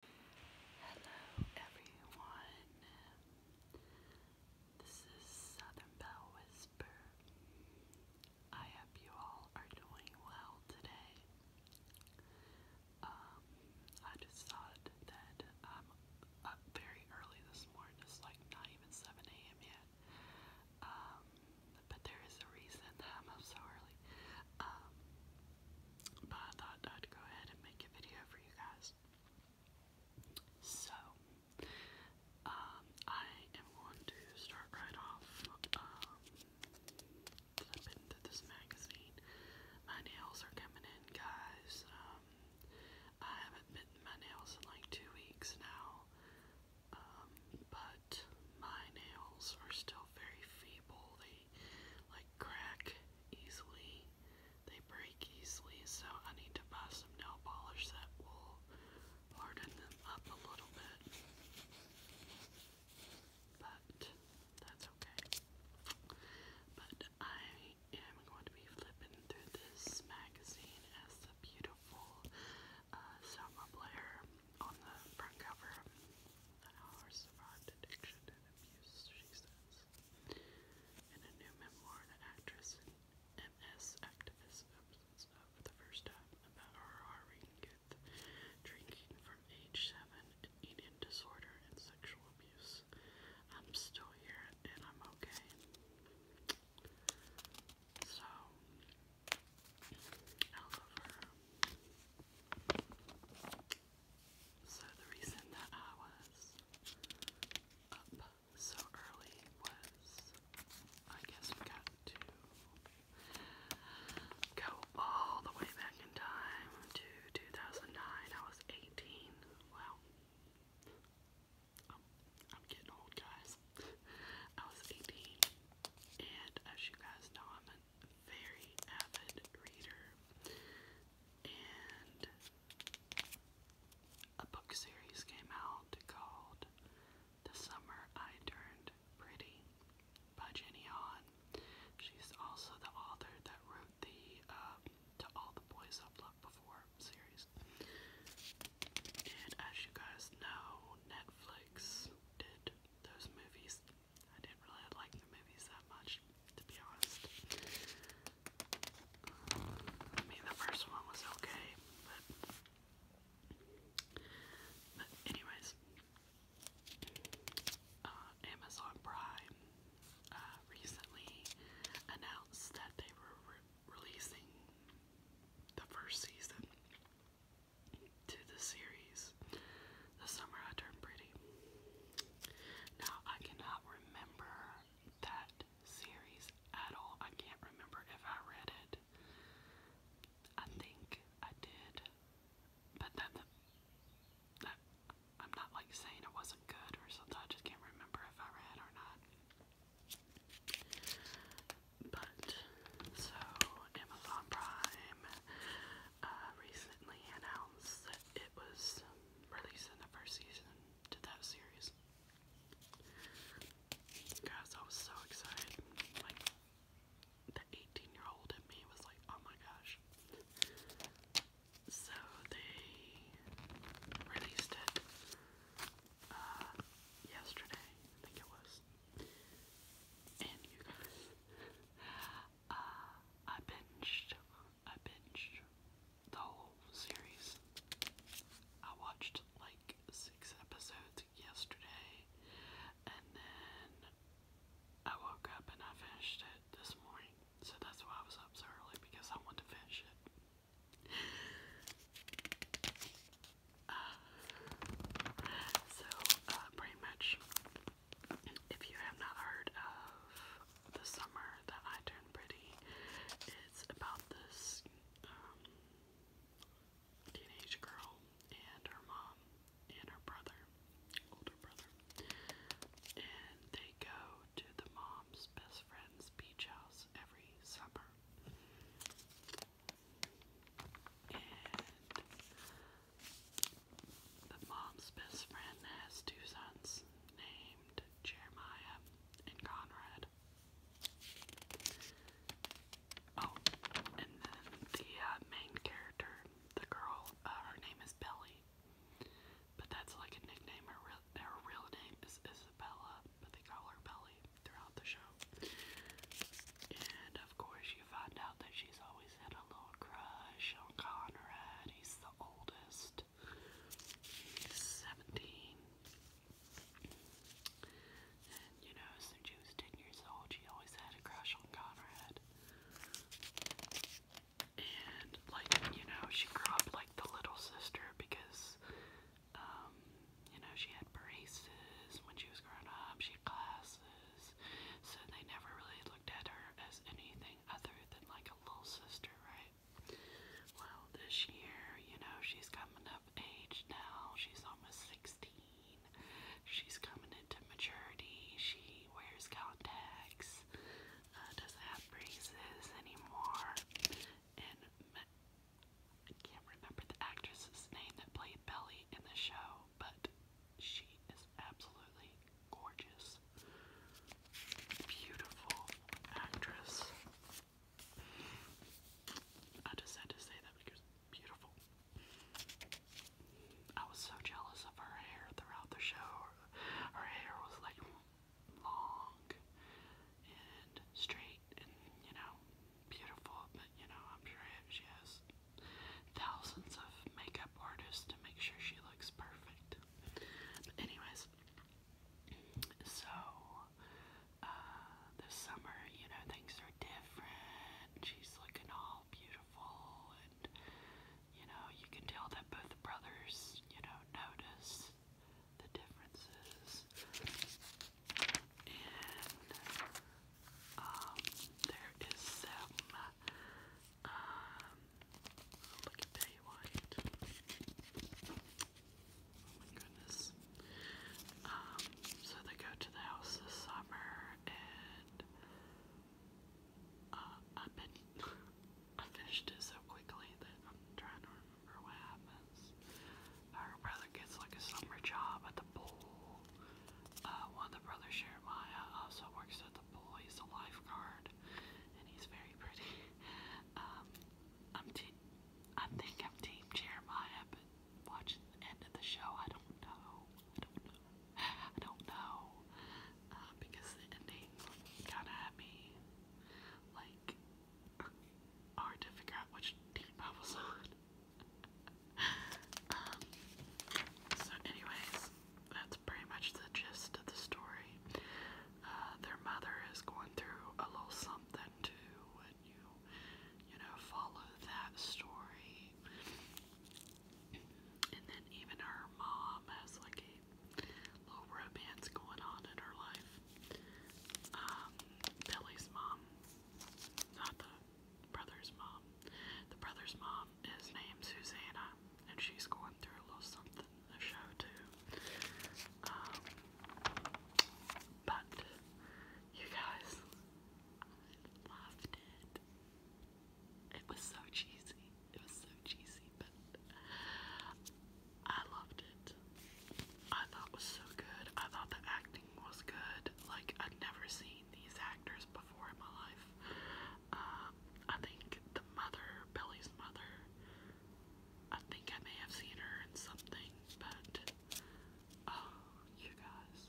Hello everyone. This is Southern Bell Whisper. I hope you all are doing well today. I just thought that I'm up very early this morning, it's like not even 7 a.m. yet. but there is a reason that I'm up so early but I thought I'd go ahead and make a video for you guys. So, um, I am going to start right off. Um, i this magazine. My nails are coming in, guys. Um, I haven't bitten my nails in like two weeks now. Um, but my nails are still very feeble like crack easily. They break easily, so I need to buy some nail polish that will harden them up a little bit. But that's okay. But I am going to be flipping through this magazine as the beautiful uh, Selma Blair on the front cover that Howard survived addiction and abuse, she says. In a new memoir, the actress and MS activist opens up for the first time about her harrowing youth, drinking from age 7, eating disorder and sexual abuse. I'm still here and I'm okay. So, so the reason that I was up so early was I guess we got to go all the way back in time to 2009. I was 18. Wow. I'm, getting old, guys. I was 18, and as you guys know, I'm a very avid reader, and a book series came out called The Summer I Turned Pretty by Jenny Hahn. She's also the author that wrote the um, To All the Boys I've Loved Before series. And as you guys know, Netflix did those movies. I didn't really like the movies that much, to be honest. I mean, the first one was okay, but. anyways, uh, Amazon Prime uh, recently announced that they were releasing the first season to the series the summer I turned pretty. Now, I cannot remember that series at all. I can't remember if I read it. I think I did, but that, that I'm not like saying it wasn't good or something. I just can't remember if I read or not. But so Amazon Prime uh, recently announced that it was releasing the first season to that series. Guys, I was so excited. Like, the 18 year old in me was like, oh my gosh. So they released it uh, yesterday, I think it was. And you guys, uh, I binged I binged the whole series. I watched like six episodes yesterday, and then I woke up and I finished it this morning. So that's why I was up so early because I wanted to finish it. so, uh, pretty much, if you have not heard of The Summer That I Turned Pretty, it's about this um, teenage girl and her mom and her brother, older brother, and they go to the mom's best friend's beach house every summer. And the mom's best friend has two sons named Jeremiah and Conrad. Oh, and then the uh, main character, the girl, uh, her name is Belly. But that's like a nickname. her real name is Isabella, but they call her Belly throughout the show. And of course, you find out that she's always had a little crush on Conrad and he's the oldest. He's 17. And you know, since she was 10 years old, she always had a crush on Conrad. And, like, you know, she grew up like the little sister because, um, you know, she had braces when she was growing up, she had glasses, so they never really looked at her as anything other than like a little sister, right? Well, this year, you know, she's coming up age now. She's almost 16. She's coming into maturity. She wears contacts, uh, doesn't have braces anymore. And I can't remember the actress's name that played Belly in the show, but she is absolutely gorgeous, beautiful actress. I just had to say that because beautiful. I was so jealous of her hair throughout the show. Her hair was like long and straight and you know beautiful, but you know I'm sure she has thousands of makeup artists to make sure she looks perfect. But anyways, so uh, this summer, you know, things are different. She's looking all beautiful, and you know, you can tell that both the brothers, you know, notice the differences. And um, there is some um, look at Baywatch. Oh my goodness. Um, so they go to the house this summer, and uh, I've been I finished it so quickly that I'm trying to remember what happens. Our brother gets like a summer job at the pool. Uh, one of the brothers, Jeremiah, uh, also works at the the pool. He's a lifeguard, and he's very pretty. Um, I'm te I think I'm Team Jeremiah, but watching the end of the show, I don't know. I don't know. Uh, because the ending kind of had me like hard to figure out which team I was on. Um, so, anyways, that's pretty much the gist of the story. Uh, their mother is going through a little something too, and you, you know, follow that story. And then even her mom has like a little romance going on in her life. Um, Billy's mom, not the brother's mom. The brother's mom his named Susanna, and she's going through a little something in the show, too. Um, but you guys, I loved it. It was so cheesy. It was so cheesy, but I loved it. I thought was so good. I thought the acting was good. Like, I'd never seen these actors before in my life. Um, I think the mother, Billy's mother, I think I may have seen her in something, but oh, you guys.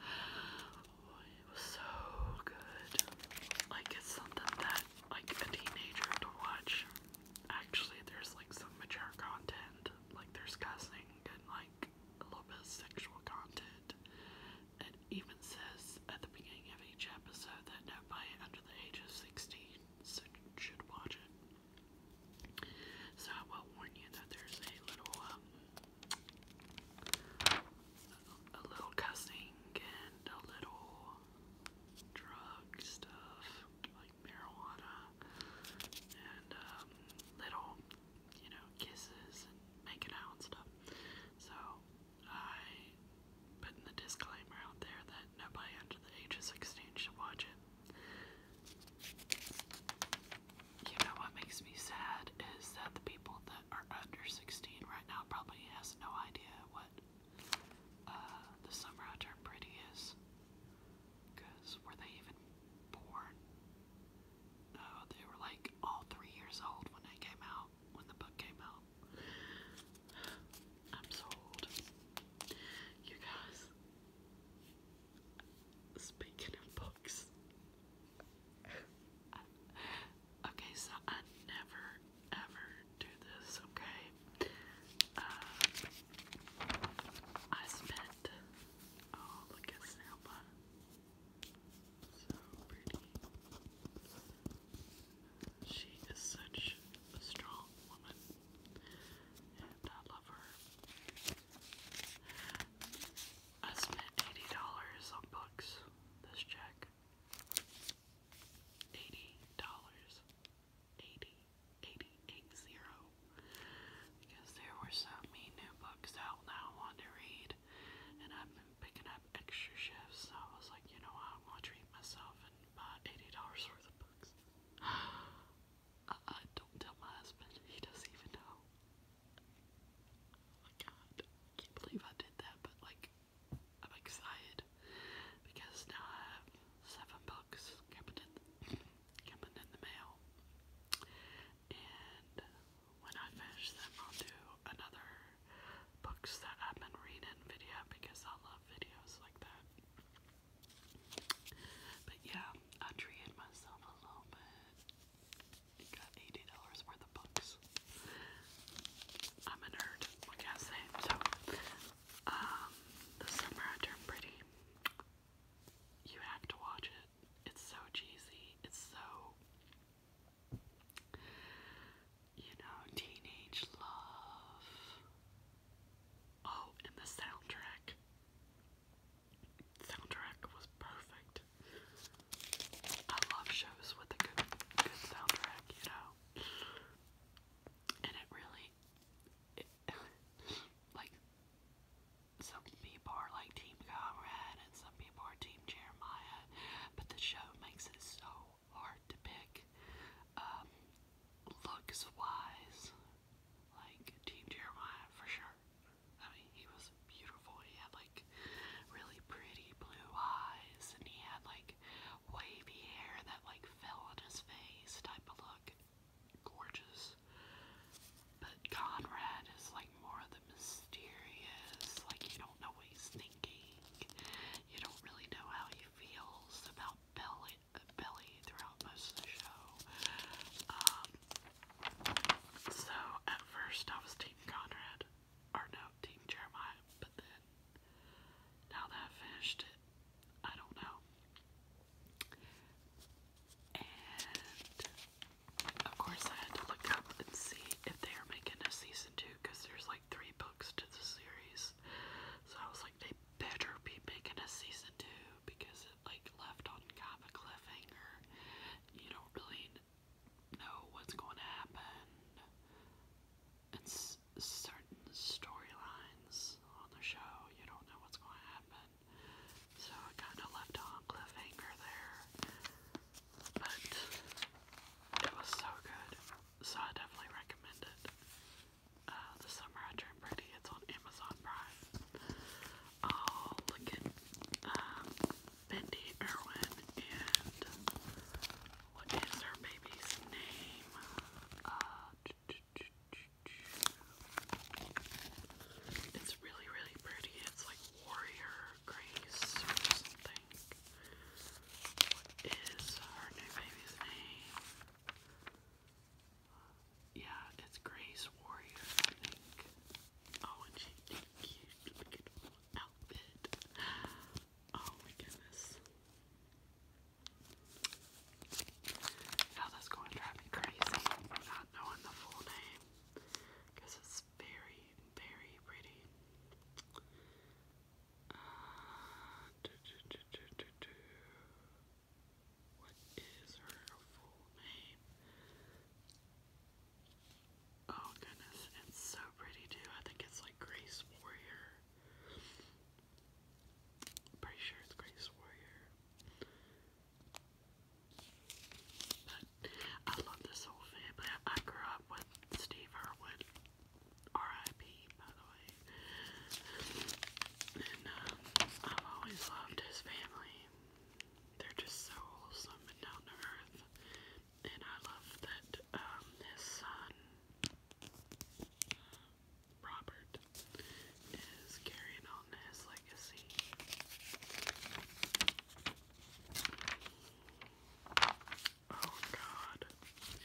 Oh, it was so good. Like, it's something that, like, a teenager to watch. Actually, there's, like, some mature content. Like, there's cussing and, like, a little bit of sexual content. It even says at the beginning of each episode that nobody under the age of 16 should watch it. So I will warn you that there's a little, um, a little cussing and a little drug stuff, like marijuana, and um, little, you know, kisses and making out and stuff. So I put in the disclaimer out there that nobody under the age of 16 should watch it. You know what makes me sad is that the people that are under 16 right now probably has no idea what uh, the summer I turned pretty is. Because were they even born? No, oh, they were like all three years old when it came out when the book came out. I'm so You guys, speaking of books, okay, so I never ever do this, okay? Uh, I spent, oh, look at Snapchat. She is such a strong woman, and I love her. I spent eighty dollars on books this check. Eighty dollars. 80, because there were so many new books that I wanted to read, and I've been picking up extra shifts, I was like, you know I'm gonna treat myself and buy $80 worth of books. I, uh, uh, don't tell my husband, he doesn't even know. Oh my god, can't believe I did that, but like, I'm excited because now I have seven books coming in, coming in the mail. And when I finish them, I'll do another books that I've been reading video because I love videos like that. But yeah, I treated myself a little bit. got $80 worth of books. I'm a nerd, what can I say? So, um, The Summer I Turned Pretty. You have to watch it. It's so cheesy. It's so you know, teenage love. Oh, and the soundtrack. Soundtrack was perfect. I love shows with a good, good soundtrack, you know. And it really, like, some people are like Team Conrad and some people are Team Jeremiah that. But the show makes it so hard to pick. Um, looks wise, like Team Jeremiah for sure. I mean, he was beautiful. He had like really pretty blue eyes, and he had like wavy hair that like fell on his face type of look. Gorgeous. But Conrad is like more of the mysterious, like you don't know what he's thinking thinking. You don't really know how he feels about Belly, Belly throughout most of the show. Um, so at first I was Team Conrad, or no, Team Jeremiah, but then now that finished it, I don't know. And of course I had to look up and see if they are making a season 2 because there's like three books to the series. So I was like, they better be making a season two because it like left on kind of a cliffhanger. You don't really know what's going to happen. certain storylines on the show, you don't know what's going to happen. So it kind of left on cliffhanger there but it was so good, so I definitely recommend it. Uh, the Summer I Dream Pretty, it's on Amazon Prime. i oh, look at um, Bendy Irwin and what is her baby's name? Uh, it's really, really pretty. It's like Warrior Grace or something. What is her new baby's name? Yeah, it's Grace Warrior, I think. Oh, and she did a cute little outfit. Oh my goodness. Now that's going to drive me crazy not knowing the full name because it's very very pretty. Uh, what is her full name? Oh goodness, it's so pretty too. I think it's like Grace Warrior. pretty sure it's Grace Warrior. But I love this whole family. I grew up with Steve Harwood, R.I.P. by the way. And um, I've always loved his family. They're just so wholesome and down to earth. And I love that um, his son, Robert, is carrying on his legacy. Oh god.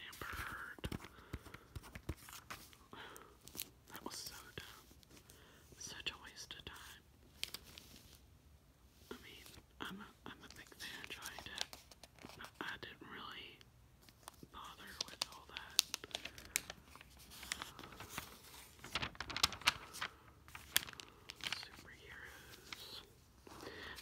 Amber That was so dumb. Such a waste of time. I mean, I'm a, I'm a big fan, so I, did, I didn't really bother with all that. Uh, superheroes.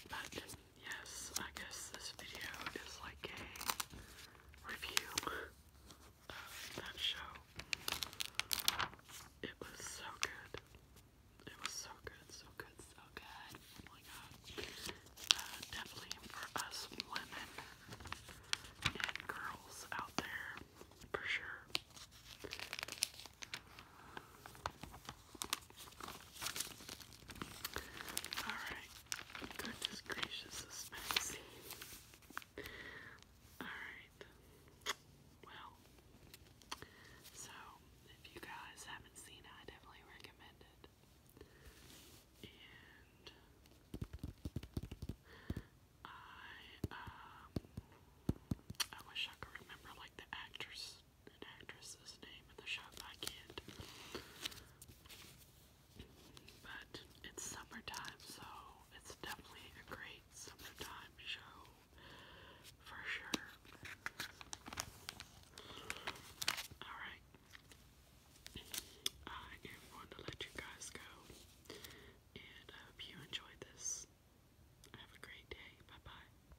But yes, I guess this video is like a review of that show. It was so good. It was so good, so good, so good. Oh my god. Uh, definitely for us women and girls out there, for sure. Alright. Goodness gracious, this magazine. Alright. Well. So, if you guys haven't seen it, I definitely recommend it. And I um I wish I could remember like the actress an actress's name in the show, I can't. But it's summertime, so it's definitely a great summertime show for sure. Alright. I am going to let you guys go. And I hope you enjoyed this. Have a great day. Bye bye.